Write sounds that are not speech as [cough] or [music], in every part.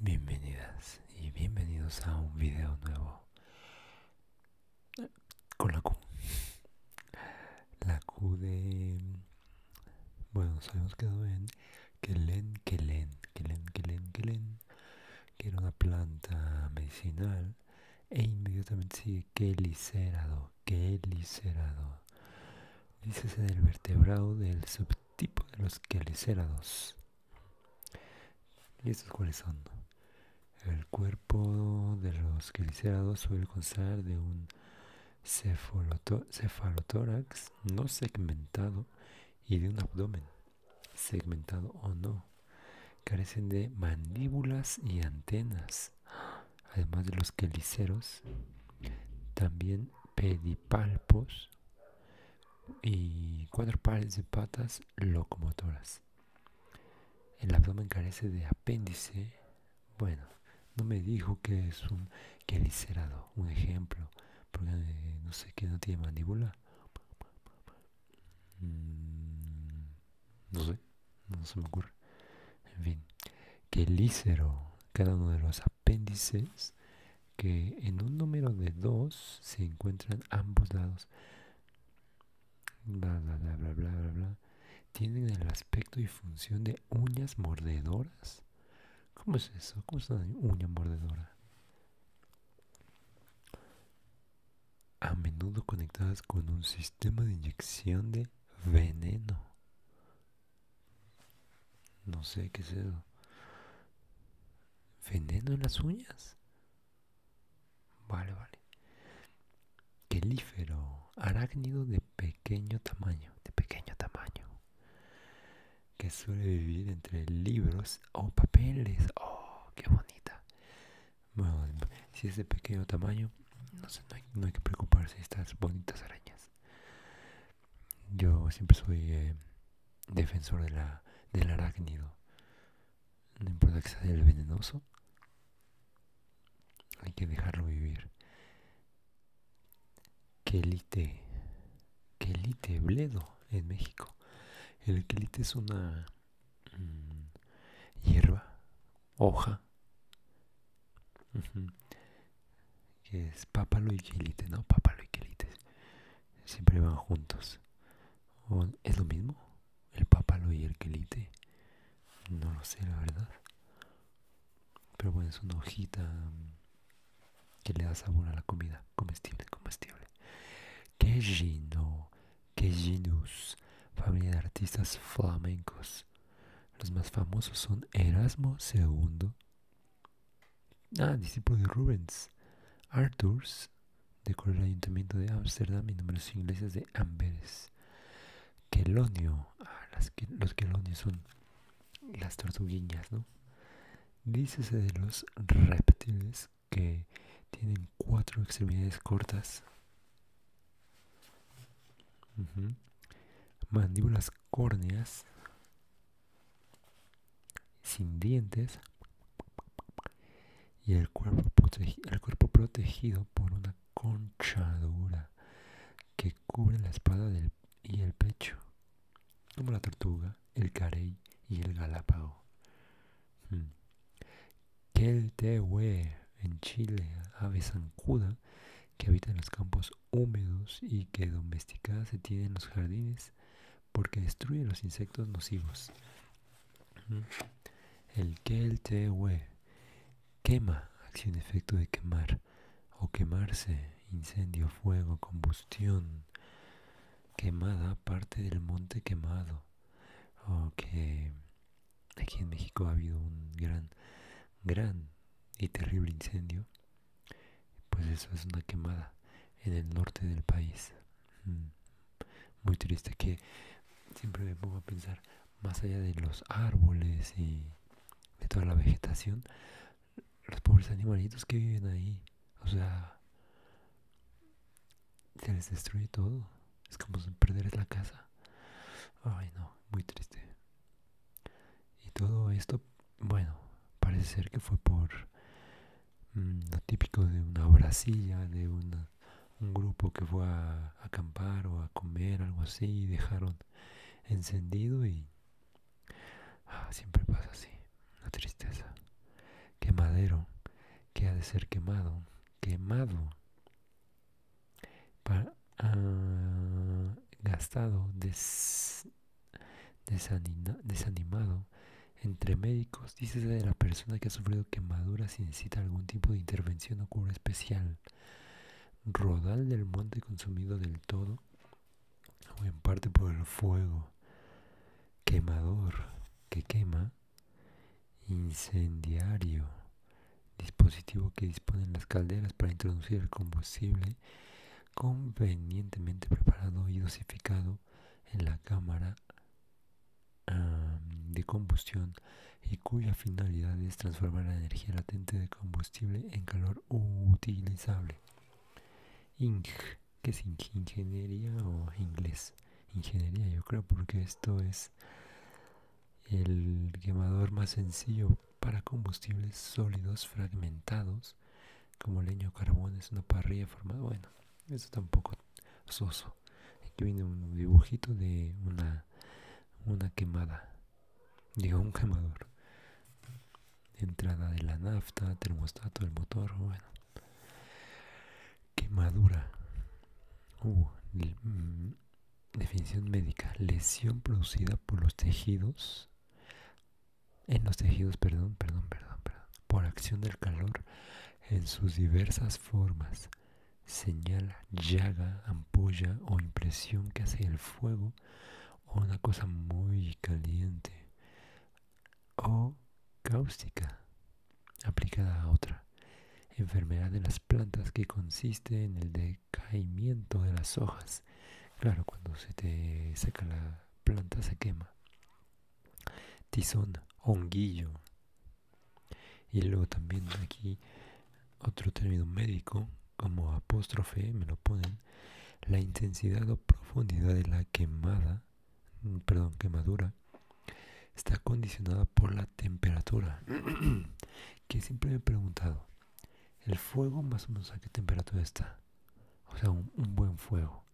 Bienvenidas y bienvenidos a un video nuevo. Con la Q. La Q de... Bueno, nos habíamos quedado en leen, que leen, que Kelen, que era una planta medicinal. E inmediatamente sigue Que Kelicerado. Dices en del vertebrado del subtipo de los quelicerados. ¿Y estos cuáles son? El cuerpo de los glicerados suele constar de un cefalotórax no segmentado y de un abdomen segmentado o no. Carecen de mandíbulas y antenas. Además de los queliceros, también pedipalpos y cuatro pares de patas locomotoras. El abdomen carece de apéndice. Bueno, no me dijo que es un quelícero, un ejemplo, porque eh, no sé que no tiene mandíbula. Mm, no sé, no se me ocurre. En fin, quelícero, cada uno de los apéndices que en un número de dos se encuentran ambos lados bla bla bla bla bla bla tienen el aspecto y función de uñas mordedoras. ¿Cómo es eso? ¿Cómo es una uña mordedora? A menudo conectadas con un sistema de inyección de veneno. No sé qué es eso. ¿Veneno en las uñas? Vale, vale. Quelífero, arácnido de pequeño tamaño, de pequeño tamaño, que suele vivir entre libros o papeles. ¡Oh, qué bonita! Bueno, si es de pequeño tamaño, no, no, hay, que preocuparse de estas bonitas arañas. Yo siempre soy eh, defensor de la, del arácnido. No importa que sea el venenoso. Hay que dejarlo vivir. Quelite. Quelite, bledo, en México. El quelite es una mm, hierba, hoja. Que es pápalo y quelite, ¿no? Pápalo y quelite. Siempre van juntos. ¿Es lo mismo? el papalo y el quelite. No lo sé, la verdad. Pero bueno, es una hojita mm, que le da sabor a la comida. Comestible, comestible. qué Queginus, familia de artistas flamencos. Los más famosos son Erasmo II, ah, discípulo de Rubens, Arthurs, decoró el ayuntamiento de Ámsterdam y Números ingleses de Amberes quelonio. Ah, los quelonios son las tortuguillas, ¿no? Dícese de los reptiles que tienen cuatro extremidades cortas, mandíbulas córneas, sin dientes y el cuerpo protegido por una conchadura que cubre la espada y el pecho, como la tortuga, el carey y el galápago. te hmm. Keltehue en Chile, ave zancuda que habita en los campos húmedos y que domesticada se tiene en los jardines porque destruye los insectos nocivos. Hmm. El Keltehue quema, acción efecto de quemar o quemarse, incendio, fuego, combustión, quemada, parte del monte quemado. O oh, que aquí en México ha habido un gran, gran y terrible incendio. Pues eso es una quemada en el norte del país. Mm muy triste que siempre me pongo a pensar más allá de los árboles y de toda la vegetación, los pobres animalitos que viven ahí, o sea, se les destruye todo, es como perder la casa. Ay no, muy triste. Y todo esto, bueno, parece ser que fue por mm, lo típico de una brasilla, de una un grupo que fue a acampar o a comer, algo así, y dejaron encendido y ah, siempre pasa así, una tristeza. Quemadero, que ha de ser quemado, quemado, ah, gastado, desanimado. Entre médicos, dice de la persona que ha sufrido quemaduras y necesita algún tipo de intervención o cura especial. Rodal del monte consumido del todo, o en parte por el fuego, quemador que quema, incendiario, dispositivo que disponen las calderas para introducir el combustible convenientemente preparado y dosificado en la cámara de combustión y cuya finalidad es transformar la energía latente de combustible en calor utilizable. ING, que es ingeniería o inglés? Ingeniería, yo creo, porque esto es el quemador más sencillo para combustibles sólidos fragmentados como leño o carbón es una parrilla formada. Bueno, eso tampoco soso. Aquí viene un dibujito de una, quemada. Digo, un quemador. Entrada de la nafta, termostato, del motor, bueno. Quemadura. Uh, mm, definición médica. Lesión producida por los tejidos. En los tejidos, perdón, perdón, perdón. Por acción del calor en sus diversas formas señal, llaga, ampolla o impresión que hace el fuego o una cosa muy caliente o cáustica aplicada a otra. Enfermedad de las plantas que consiste en el decaimiento de las hojas. Claro, cuando se te saca la planta se quema. Tizón, honguillo, y luego también aquí otro término médico, como apóstrofe, me lo ponen, la intensidad o profundidad de la quemada, perdón, quemadura, está condicionada por la temperatura. [clears throat] que siempre me he preguntado, ¿el fuego más o menos a qué temperatura está? O sea, un, buen fuego,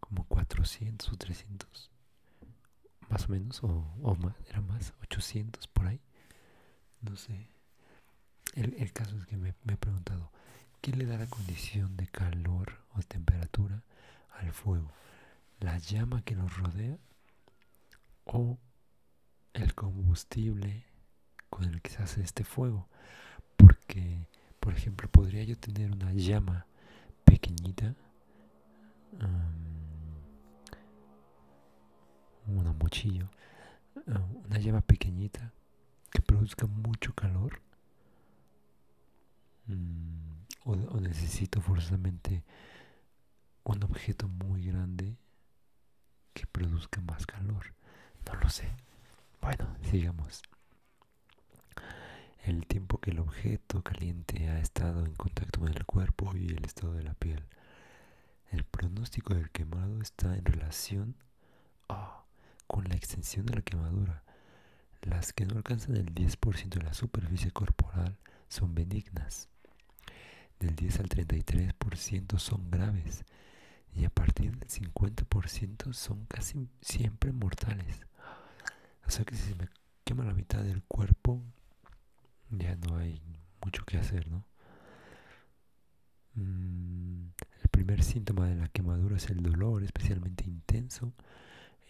como 400 o 300 más o menos, o, más, era más, 800 por ahí, no sé. El, caso es que me, me he preguntado, ¿qué le da la condición de calor o temperatura al fuego? ¿La llama que nos rodea o el combustible con el que se hace este fuego? Porque, por ejemplo, podría yo tener una llama pequeñita un una mochillo, una llama pequeñita que produzca mucho calor. Mm, o, necesito forzosamente un objeto muy grande que produzca más calor. No lo sé. Bueno, sigamos. El tiempo que el objeto caliente ha estado en contacto con el cuerpo y el estado de la piel. El pronóstico del quemado está en relación con la extensión de la quemadura. Las que no alcanzan el 10% de la superficie corporal son benignas. Del 10 al 33% son graves y a partir del 50% son casi siempre mortales quema la mitad del cuerpo, ya no hay mucho que hacer, mm, el primer síntoma de la quemadura es el dolor, especialmente intenso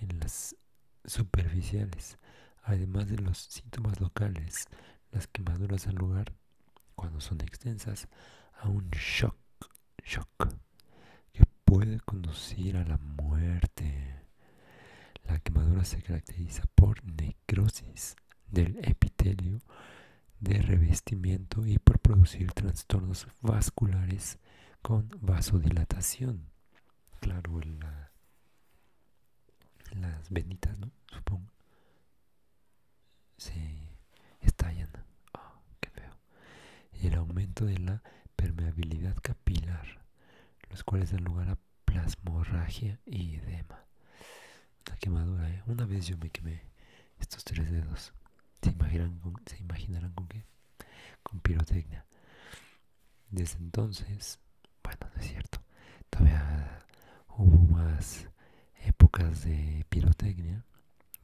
en las superficiales. Además de los síntomas locales, las quemaduras dan lugar, cuando son extensas, a un shock, shock que puede conducir a la muerte. La quemadura se caracteriza por del epitelio de revestimiento y por producir trastornos vasculares con vasodilatación. Claro, las venitas, ¿no? Supongo. Se estallan. Ah, qué feo. el aumento de la permeabilidad capilar, los cuales dan lugar a plasmorragia y edema. la quemadura, ¿eh? Una vez yo me quemé estos tres dedos. ¿Se imaginarán con, ¿se imaginarán con qué? Con pirotecnia. Desde entonces, bueno, es cierto. Todavía hubo más épocas de pirotecnia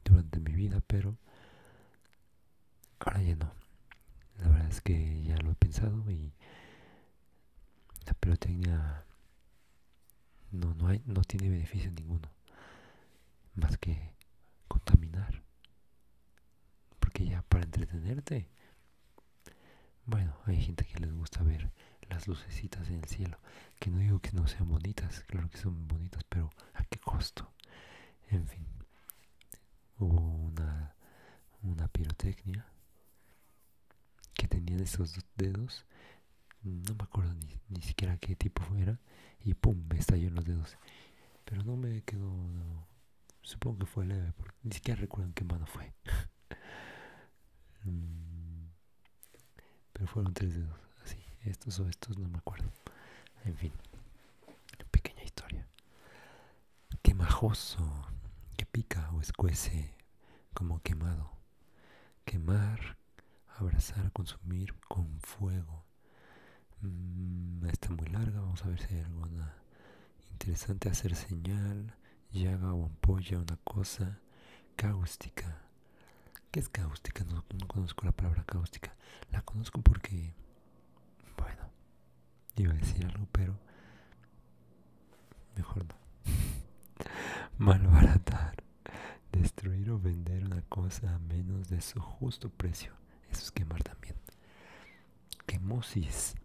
durante mi vida, pero ahora ya no. La verdad es que ya lo he pensado y la pirotecnia no, no, hay, no tiene beneficio ninguno más que contaminar. Porque ya para entretenerte, bueno, hay gente que les gusta ver las lucecitas en el cielo, que no digo que no sean bonitas, claro que son bonitas, pero ¿a qué costo? En fin, hubo una, una pirotecnia que tenían estos esos dos dedos, no me acuerdo ni, ni siquiera qué tipo fuera y pum, me estalló en los dedos. Pero no me quedó, supongo que fue leve, porque ni siquiera recuerdo en qué mano fue. [laughs] Mm, pero fueron tres dedos, así, estos o estos, no me acuerdo. En fin, pequeña historia quemajoso, que pica o escuece como quemado. Quemar, abrazar, consumir con fuego. Mm, está muy larga, vamos a ver si hay alguna interesante. Hacer señal, llaga o ampolla, una cosa. Cáustica. ¿Qué es cáustica? No, no conozco la palabra cáustica. La conozco porque, bueno, Iba a decir algo, pero mejor no. [laughs] Malbaratar. Destruir o vender una cosa a menos de su justo precio. Eso es quemar también. Quemosis.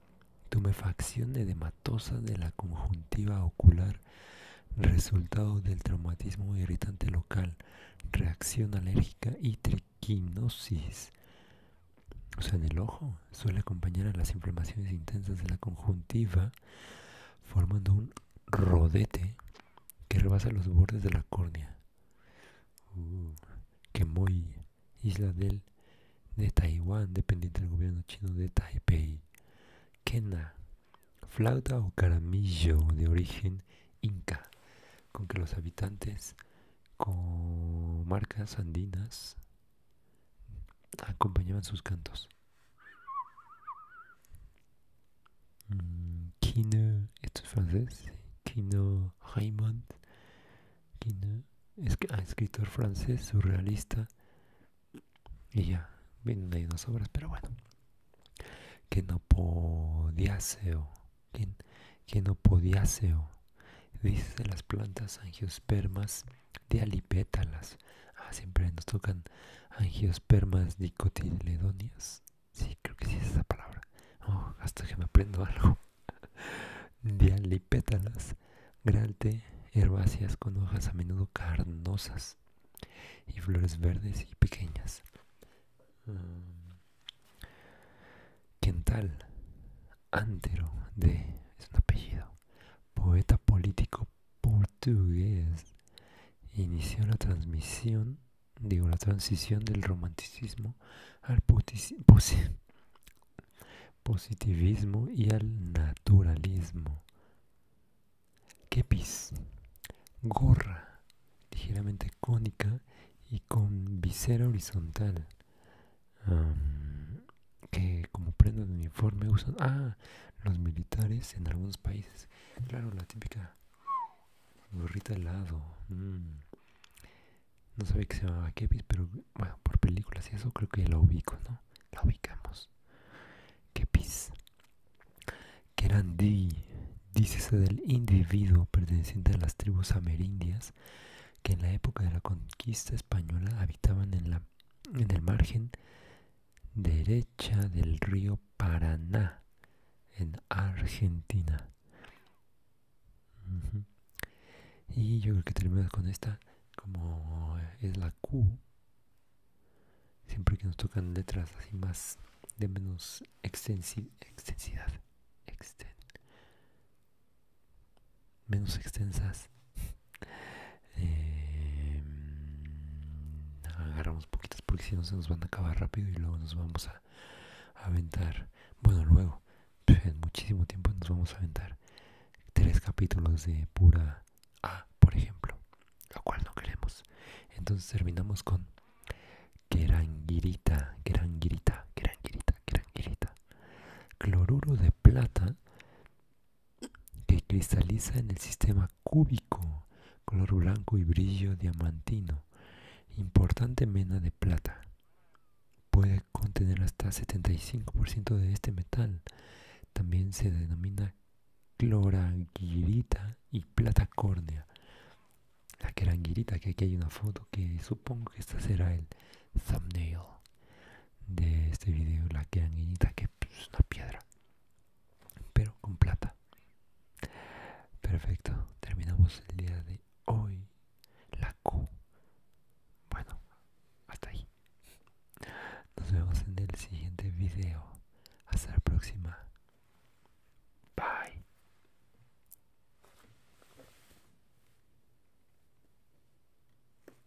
Tumefacción edematosa de la conjuntiva ocular, resultado del traumatismo irritante local, reacción alérgica y triquinosis o sea, en el ojo, suele acompañar a las inflamaciones intensas de la conjuntiva, formando un rodete que rebasa los bordes de la córnea. Uh, Quemoy isla del, de Taiwán, dependiente del gobierno chino de Taipei. Kena, flauta o caramillo de origen inca, con que los habitantes con marcas andinas acompañaban sus cantos. Mm, Kino esto es francés, Kino Raymond, es ah, escritor francés, surrealista, y ya, vienen ahí unas obras, pero bueno, que no podía ser, que, no podía ser. Dice las plantas angiospermas dialipétalas. Ah, siempre nos tocan angiospermas dicotiledonias Sí, creo que sí es esa palabra. Oh, hasta que me aprendo algo. [laughs] Dialipétalas. Gralte, herbáceas con hojas a menudo carnosas y flores verdes y pequeñas. Mm. Quental antero de, es un apellido, poeta político portugués, inició la transmisión, digo, la transición del romanticismo al positivismo y al naturalismo. Kepis, gorra, ligeramente cónica y con visera horizontal que como prenda de uniforme usan ah los militares en algunos países claro la típica gorrita al lado mm. no sabía que se llamaba kepis pero bueno por películas y eso creo que la ubico no la ubicamos kepis Kerandi dícese del individuo perteneciente a las tribus amerindias que en la época de la conquista española habitaban en la en el margen derecha del río Paraná, en Argentina. Y yo creo que terminamos con esta, como es la Q. Siempre que nos tocan letras así más de menos extensidad menos extensas. Em, agarramos poquitas porque si no se nos van a acabar rápido y luego nos vamos a, aventar. Bueno, luego, [laughs] en muchísimo tiempo nos vamos a aventar tres capítulos de pura A, por ejemplo, lo cual no queremos. Entonces terminamos con Gran guirita Gran guirita Cloruro de plata que cristaliza en el sistema cúbico, color blanco y brillo diamantino, importante mena de plata. Puede contener hasta 75% de este metal. También se denomina cloranguirita y plata córnea. La queranguirita, que aquí hay una foto que supongo que esta será el thumbnail de este video que guinita que pues, es una piedra pero con plata perfecto terminamos el día de hoy la Q bueno hasta ahí nos vemos en el siguiente video hasta la próxima bye